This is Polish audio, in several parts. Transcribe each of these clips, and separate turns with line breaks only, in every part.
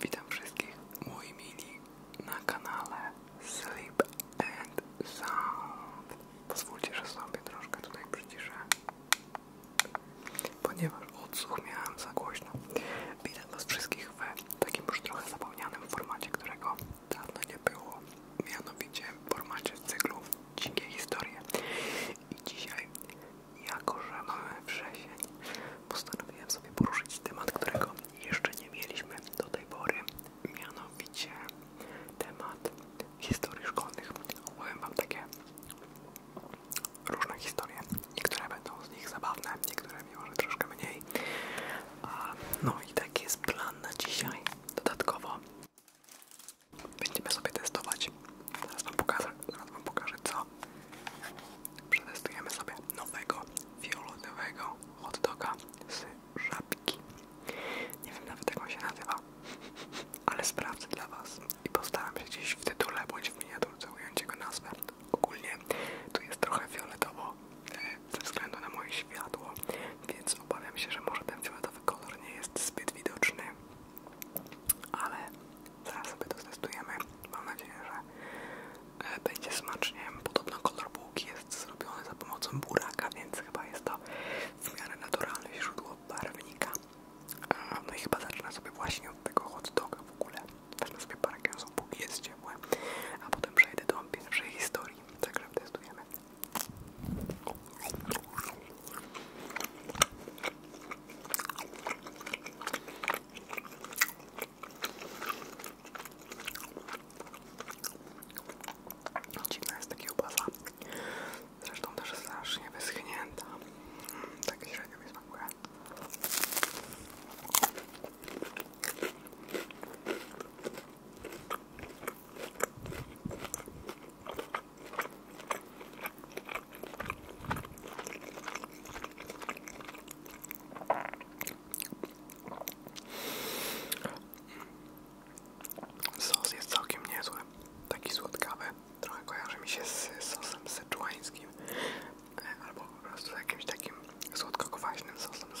Witam wszystkich moi mili na kanale Sleep and Sound. Pozwólcie, że sobie troszkę tutaj przyciszę, ponieważ odsłuch miałem za głośno. Witam was wszystkich w takim już trochę zapomnianym formacie, którego dawno nie było, mianowicie w formacie cyklu Dzikie Historie. I dzisiaj jako, że mamy wrzesień, postanowiłem sobie poruszyć temat, którego jeszcze nie mieliśmy do tej pory, mianowicie temat historii szkolnych. Opowiem Wam takie różne historie. Niektóre będą z nich zabawne, niektóre może troszkę mniej. No i taki jest plan na dzisiaj. Dodatkowo będziemy sobie testować. Zaraz Wam pokażę, zaraz wam pokażę co hotdoga. Przetestujemy sobie nowego, fioletowego hotdoga z żabki. Nie wiem nawet jak on się nazywa, ale sprawdzę dla Was i postaram się dziś w tytule bądź w miniaturce ująć jego nazwę. Ogólnie tu jest trochę fioletowo e, ze względu na moje światło, więc obawiam się, że może ten fioletowy kolor nie jest zbyt widoczny, ale Zaraz sobie to testujemy. Mam nadzieję, że e, będzie smacznie. Podobno kolor bułki jest zrobiony za pomocą buraka, więc chyba jest to w miarę naturalne źródło barwnika. E, no i chyba zacznę sobie właśnie od tego hot doga w ogóle. Wezmę sobie parę kęsów, jest ciepłe, a potem przejdę do pierwszej historii. Także testujemy. Dziwna jest takie kiełbasa. Zresztą też strasznie wyschnięta. Tak średnio mi Sos jest całkiem niezły, taki słodkawy. Trochę kojarzy mi się z sosem syczuańskim e, albo po prostu jakimś takim słodko-kwaśnym sosem z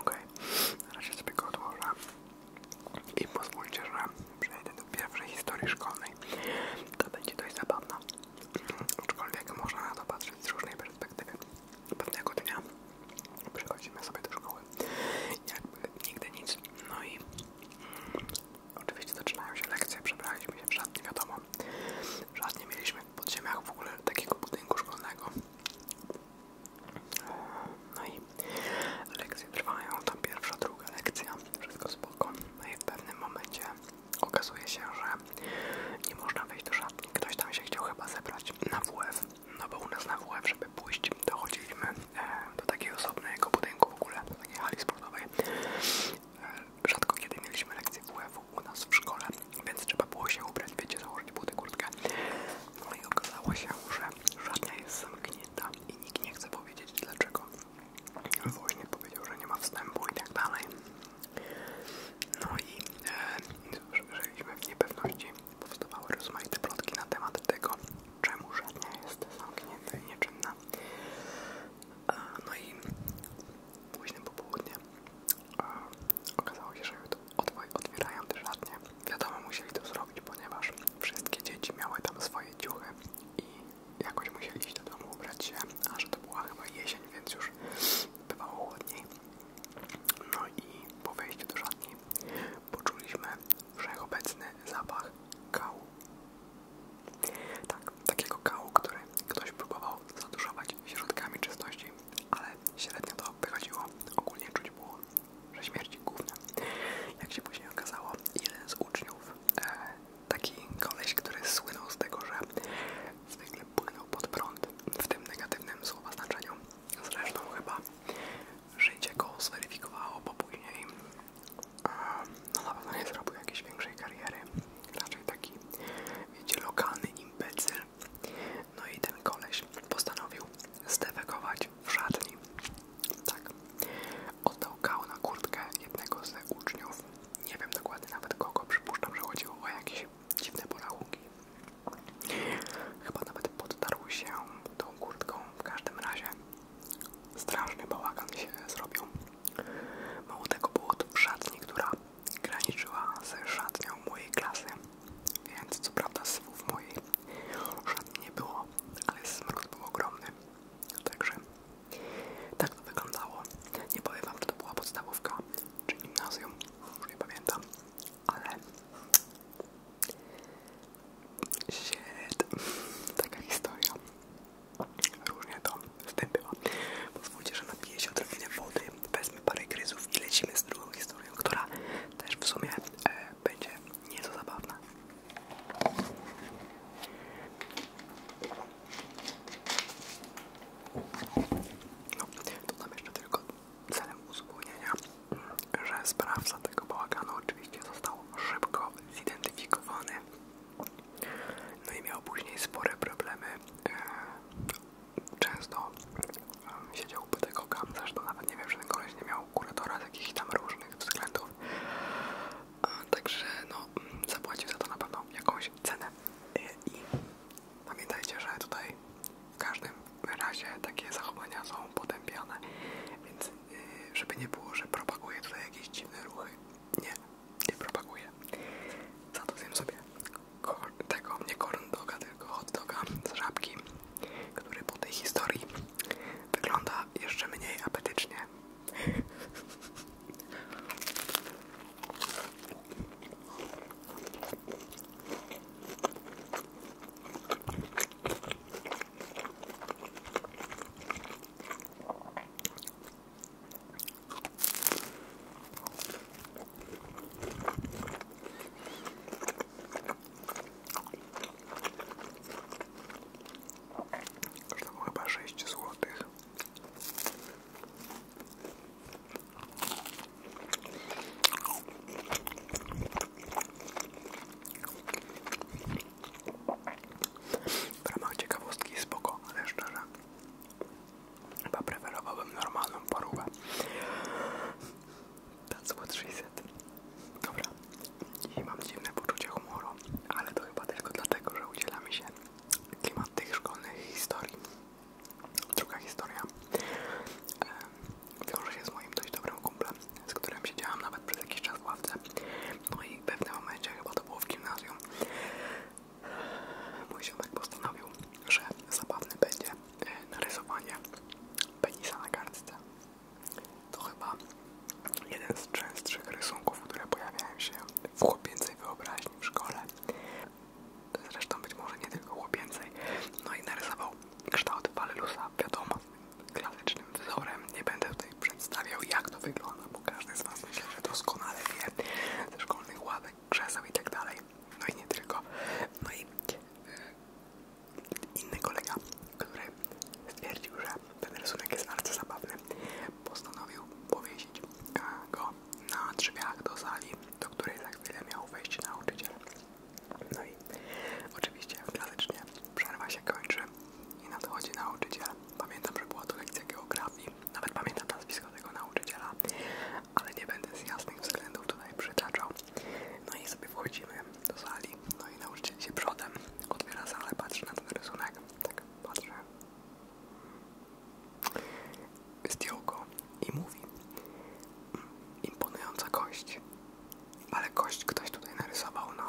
OK. okay. na razie sobie go odłożę i pozwólcie, że przejdę do pierwszej historii szkolnej. To będzie dość zabawna, aczkolwiek można na to patrzeć z różnej perspektywy. Pewnego dnia przychodzimy sobie do szkoły, jakby nigdy nic, no i mm, oczywiście zaczynają się lekcje, przebraliśmy się żadnie wiadomo, w szatni mieliśmy w podziemiach w ogóle takiego budynku szkolnego, no i lekcje trwają, tam pierwsza, druga lekcja, wszystko spoko. No i w pewnym momencie okazuje się, że nie można wejść do szatni. Ktoś tam się chciał chyba zebrać na WF. E no bo u nas na WF, e żeby pójść, dochodziliśmy e, do takiego osobnego budynku w ogóle, do takiej hali sportowej. Rzadko kiedy mieliśmy lekcję wf u nas w szkole, więc trzeba było się ubrać, wiecie, założyć buty, No i okazało się, że żadna jest zamknięta i nikt nie chce powiedzieć dlaczego. Woźnik powiedział, że nie ma wstępu i tak dalej. No i e, żyliśmy w niepewności. Powstawały rozmaite plotki na temat tego, czemu żadnia jest zamknięta i nieczynna. E, no i późnym popołudniem okazało się, że otwierają te szatnie. Wiadomo, musieli to zrobić, ponieważ wszystkie dzieci miały tam swoje ciuchy i jakoś musieli iść do domu, ubrać się, a że to była chyba jesień, więc już bywało chłodniej. No i po wejściu do szatni poczuliśmy wszechobecny zapach kału. Tak, takiego kału, który ktoś próbował zaduszować środkami czystości ale średnio to wychodziło. Ogólnie czuć było, że śmierdzi główna, Jak się później okazało, jeden z uczniów, e, taki koleś, który słynął z tego, że zwykle płynął pod prąd, w tym negatywnym słowa znaczeniu, zresztą chyba życie go zweryfikowało, bo później e, no na pewno nie zrobił jakiejś większej kariery. Raczej taki, wiecie, lokalny imbecyl no i ten koleś postanowił zdefekować w szatni. Tak. Oddał kał na kurtkę jednego z uczniów. Nie wiem dokładnie nawet kogo, przypuszczam, że chodziło o jakieś dziwne porachunki. Chyba nawet podtarł się tą kurtką. W każdym razie straszny bałagan się zrobił. Mało tego było to w szatni, która graniczyła ze szatnią mojej klasy, więc co prawda słów mojej szatni nie było, ale smród był ogromny. Także tak to wyglądało. Nie powiem wam, czy to była podstawówka czy gimnazjum, już nie pamiętam, ale shit, taka historia. Różnie to wtem była. Pozwólcie, że napiję się odrobinę wody, wezmę parę gryzów i lecimy z drugą historią, która też w sumie e, będzie nieco zabawna. No, dodam jeszcze tylko celem uzupełnienia, że sprawca tego bałaganu oczywiście został szybko zidentyfikowany. No i miał później spore problemy e, często um, siedział u tego kamzarz, to nawet nie wiem, że ten koleś nie miał kuratora z jakichś tam różnych względów. także no, zapłacił za to na pewno jakąś cenę. I, pamiętajcie, że tutaj w każdym razie takie zachowania są potępiane, więc y, żeby nie było, że propaguje tutaj jakieś dziwne ruchy. Nie, nie propaguje, Za to wiem sobie tego nie corn doga, tylko hot doga z żabki, który po tej historii wygląda jeszcze mniej apetycznie. Kosztowało chyba 6 zł. W ramach ciekawostki spoko, ale szczerze Chyba preferowałbym normalną parówę. That's what she said. Dobra, i mam dziwne poczucie humoru, ale to chyba tylko dlatego, że udzielamy się klimat tych szkolnych historii. Druga historia e, wiąże się z moim dość dobrym kumplem, z którym siedziałam nawet przez jakiś czas w ławce. No i w pewnym momencie, chyba to było w gimnazjum, Mój ziomek postanowił, że zabawne będzie e, narysowanie penisa na kartce. To chyba jeden z częstszych rysunków, które pojawiają się w chłopięcej wyobraźni w szkole. Zresztą być może nie tylko chłopięcej. No i narysował kształt Walelusa, wiadomo, klasycznym wzorem. Nie będę tutaj przedstawiał, jak to wygląda zawodowych, bo każdy z Was myślę, że doskonale wie ze szkolnych ławek, krzeseł i tak dalej. No i nie tylko. No i e, inny kolega, który stwierdził, że ten rysunek jest bardzo zabawny, postanowił powiesić e, go na drzwiach do sali, do której tak wiele miał wejść nauczyciel. No i oczywiście klasycznie przerwa się kończy i nadchodzi nauczyciel. Pamiętam, że była to lekcja geografii nawet pamiętam nazwisko tego nauczyciela, ale nie będę z jasnych względów tutaj przytaczał. No i sobie wchodzimy do sali, no i nauczyciel się przodem otwiera salę, patrzy na ten rysunek, tak patrzę, zdjął go i mówi, mm, imponująca kość, ale kość ktoś tutaj narysował, no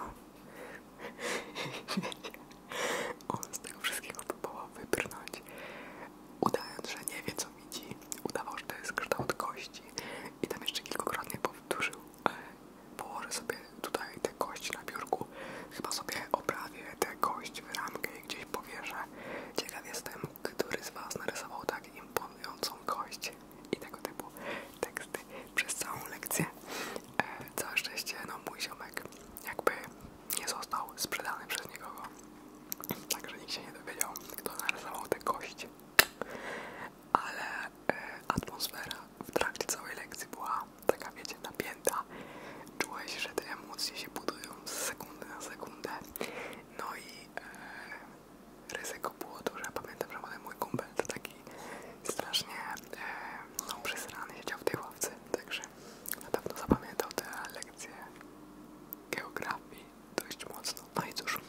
On z tego wszystkiego próbował wybrnąć, udając, że nie wie co widzi, udawał, że to jest kształt kości i tam jeszcze kilkukrotnie powtórzył, e, położę sobie tutaj tę kość na biurku, chyba sobie oprawię tę kość w ramkę i gdzieś powierzę. Ciekaw jestem, który z Was narysował tak imponującą kość i tego typu teksty przez całą lekcję. E, całe szczęście no mój ziomek jakby nie został sprzedany przez nikogo. Także nikt się nie dowiedział, kto narysował te kości. Ale e, atmosfera w trakcie całej lekcji była taka, wiecie, napięta. Czułeś, że te emocje się budują z sekundy na sekundę. No i e, ryzyko było duże. Pamiętam, że mój kumpel to taki strasznie e, no, przesrany siedział w tej ławce, także na pewno zapamiętał te lekcje geografii dość mocno. No i cóż,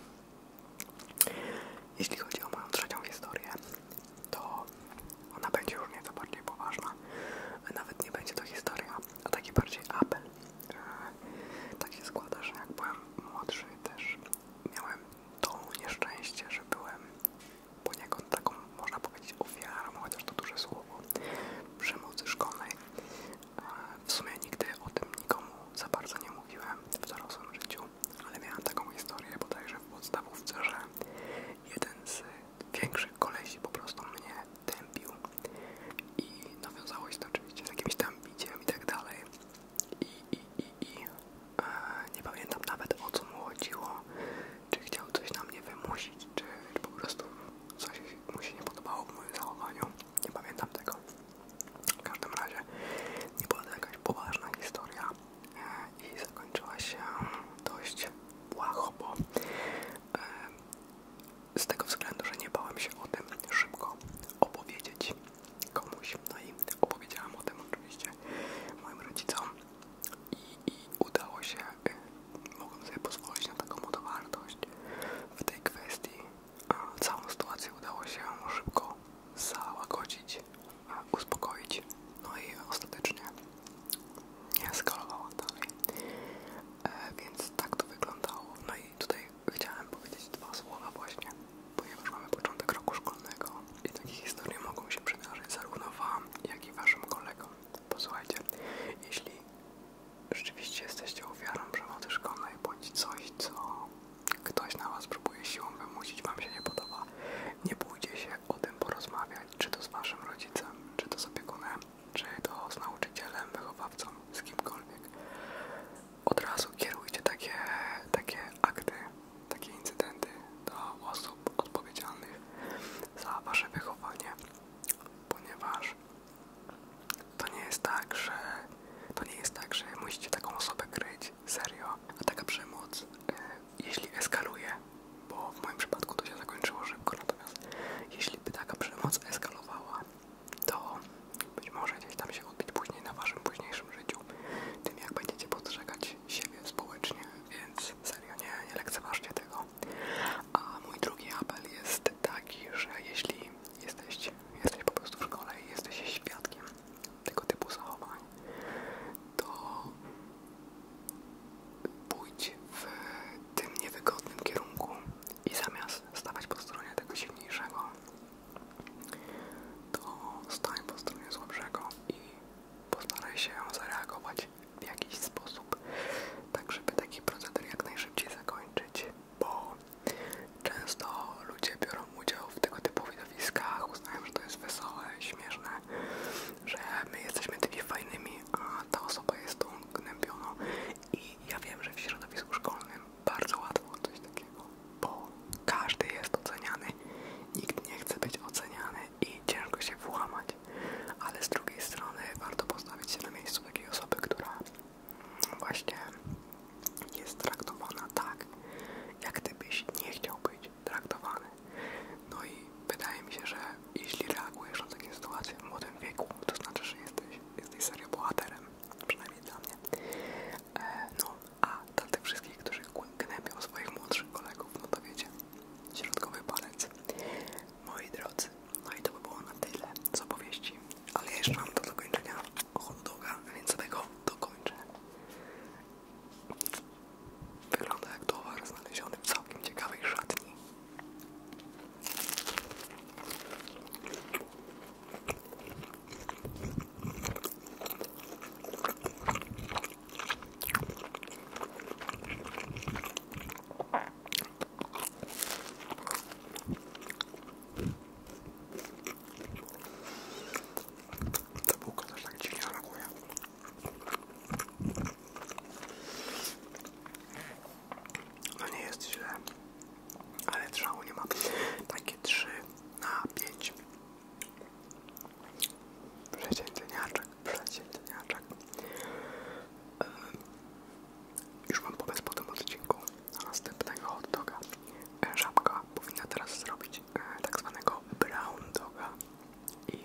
jeśli chodzi o moją trzecią historię, to ona będzie już nieco bardziej poważna. Nawet nie będzie to historia, a taki bardziej apel. E, tak się składa, że jak byłem młodszy też miałem to nieszczęście, że byłem poniekąd taką, można powiedzieć, ofiarą, chociaż to duże słowo, przemocy szkolnej. W sumie nigdy o tym nikomu za bardzo nie mówiłem w dorosłym życiu, ale miałem taką historię bodajże w podstawówce, że jeden z większych kolesi po prostu mnie tępił i nawiązało się to oczywiście z jakimś tam biciem i tak dalej. I, i, i, i. E, nie pamiętam nawet o co mu chodziło czy chciał coś na mnie wymusić, czy po prostu coś mu się nie podobało w moim zachowaniu. Nie pamiętam tego. W każdym razie nie była to jakaś poważna historia e, i zakończyła się dość błaho, bo e, z tego względu, że nie bałem się o tym szybko opowiedzieć komuś. No i opowiedziałam o tym oczywiście moim rodzicom i, udało się, y, mogłem sobie pozwolić na taką odwartość w tej kwestii. Całą sytuację udało się szybko załagodzić, uspokoić, no i ostatecznie nie eskalowała dalej. E, więc tak to wyglądało. No i tutaj chciałem powiedzieć dwa słowa właśnie, ponieważ mamy początek roku szkolnego i takie historie mogą się przydarzyć zarówno Wam, jak i Waszym kolegom. Posłuchajcie, jeśli rzeczywiście jesteście ofiarą przemocy szkolnej bądź coś, co ktoś na Was próbuje siłą wymusić, Wam się nie podoba, nie bójcie się o tym porozmawiać, czy to z Waszym rodzicem, czy to z opiekunem, czy to z nauczycielem, wychowawcą, z kimkolwiek. Od razu kierujcie takie, takie akty takie incydenty do osób odpowiedzialnych za wasze wychowanie, ponieważ to nie jest tak, że to nie jest tak, że musicie taką osobę kryć serio, a taka przemoc, e, jeśli eskaluje, bo w moim przypadku to się zakończyło szybko, natomiast jeśli by taka przemoc eskalowała, to być może gdzieś tam się odbić później na waszym późniejszym życiu, tym jak będziecie postrzegać oceniać siebie społecznie, więc serio nie, nie lekceważcie tego. A mój drugi apel jest taki, że jeśli jesteś, jesteś po prostu w szkole i jesteś świadkiem tego typu zachowań, to pójdź w tym niewygodnym kierunku i zamiast stawać po stronie tego silniejszego, to stań po stronie słabszego i postaraj się zareagować w jakiś sposób, tak żeby taki proceder jak najszybciej zakończyć, bo często ludzie biorą udział w tego typu widowiskach, uznają, że to jest wesołe, śmieszne, że my jesteśmy tymi fajnymi, a ta osoba jest tą gnębioną i ja wiem, że w środowisku szkolnym bardzo łatwo coś takiego bo każdy jest oceniany, nikt nie chce być oceniany i ciężko się włamać, ale z drugiej strony warto postawić się na miejscu takiej osoby, która właśnie jest traktowana tak, jak gdybyś nie chciał być traktowany. No i wydaje mi się, że jeśli reagujesz na takie sytuacje w młodym wieku, to znaczy, że jesteś, jesteś serio bohaterem, przynajmniej dla mnie. E, no, a dla tych wszystkich, którzy gnębią swoich młodszych kolegów, no to wiecie, środkowy palec. Moi drodzy, no i to by było na tyle Co opowieści. Ale jeszcze mam do dokończenia hot doga, więc tego dokończę. Wygląda jak towar znaleziony w całkiem ciekawej szatni. Ta bułka też tak dziwnie reaguje. No nie jest źle, ale trzału ma. Takie 3 na 5 Przeciętniaczek, przeciętniaczek. Yy, już mam pomysł po tym odcinku do następnego hot doga. E, Żabka powinna teraz zrobić e, tak zwanego brown doga. I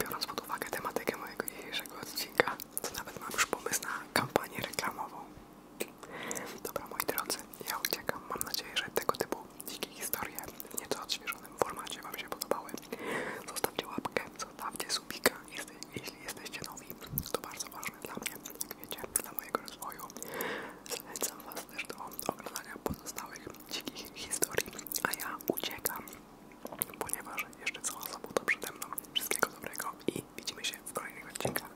biorąc pod uwagę tematykę mojego dzisiejszego odcinka, to nawet mam już pomysł na kampanię reklamową. Dobra, moi drodzy, ja uciekam. Mam nadzieję, że tego typu dzikie historie w nieco odświeżonym formacie Wam się podobały. Zostawcie łapkę, zostawcie subika, jeśli jesteście nowi. To bardzo ważne dla mnie, jak wiecie, dla mojego rozwoju. Zachęcam Was też do oglądania pozostałych dzikich historii, a ja uciekam, ponieważ jeszcze cała sobota przede mną. Wszystkiego dobrego i widzimy się w kolejnych odcinkach.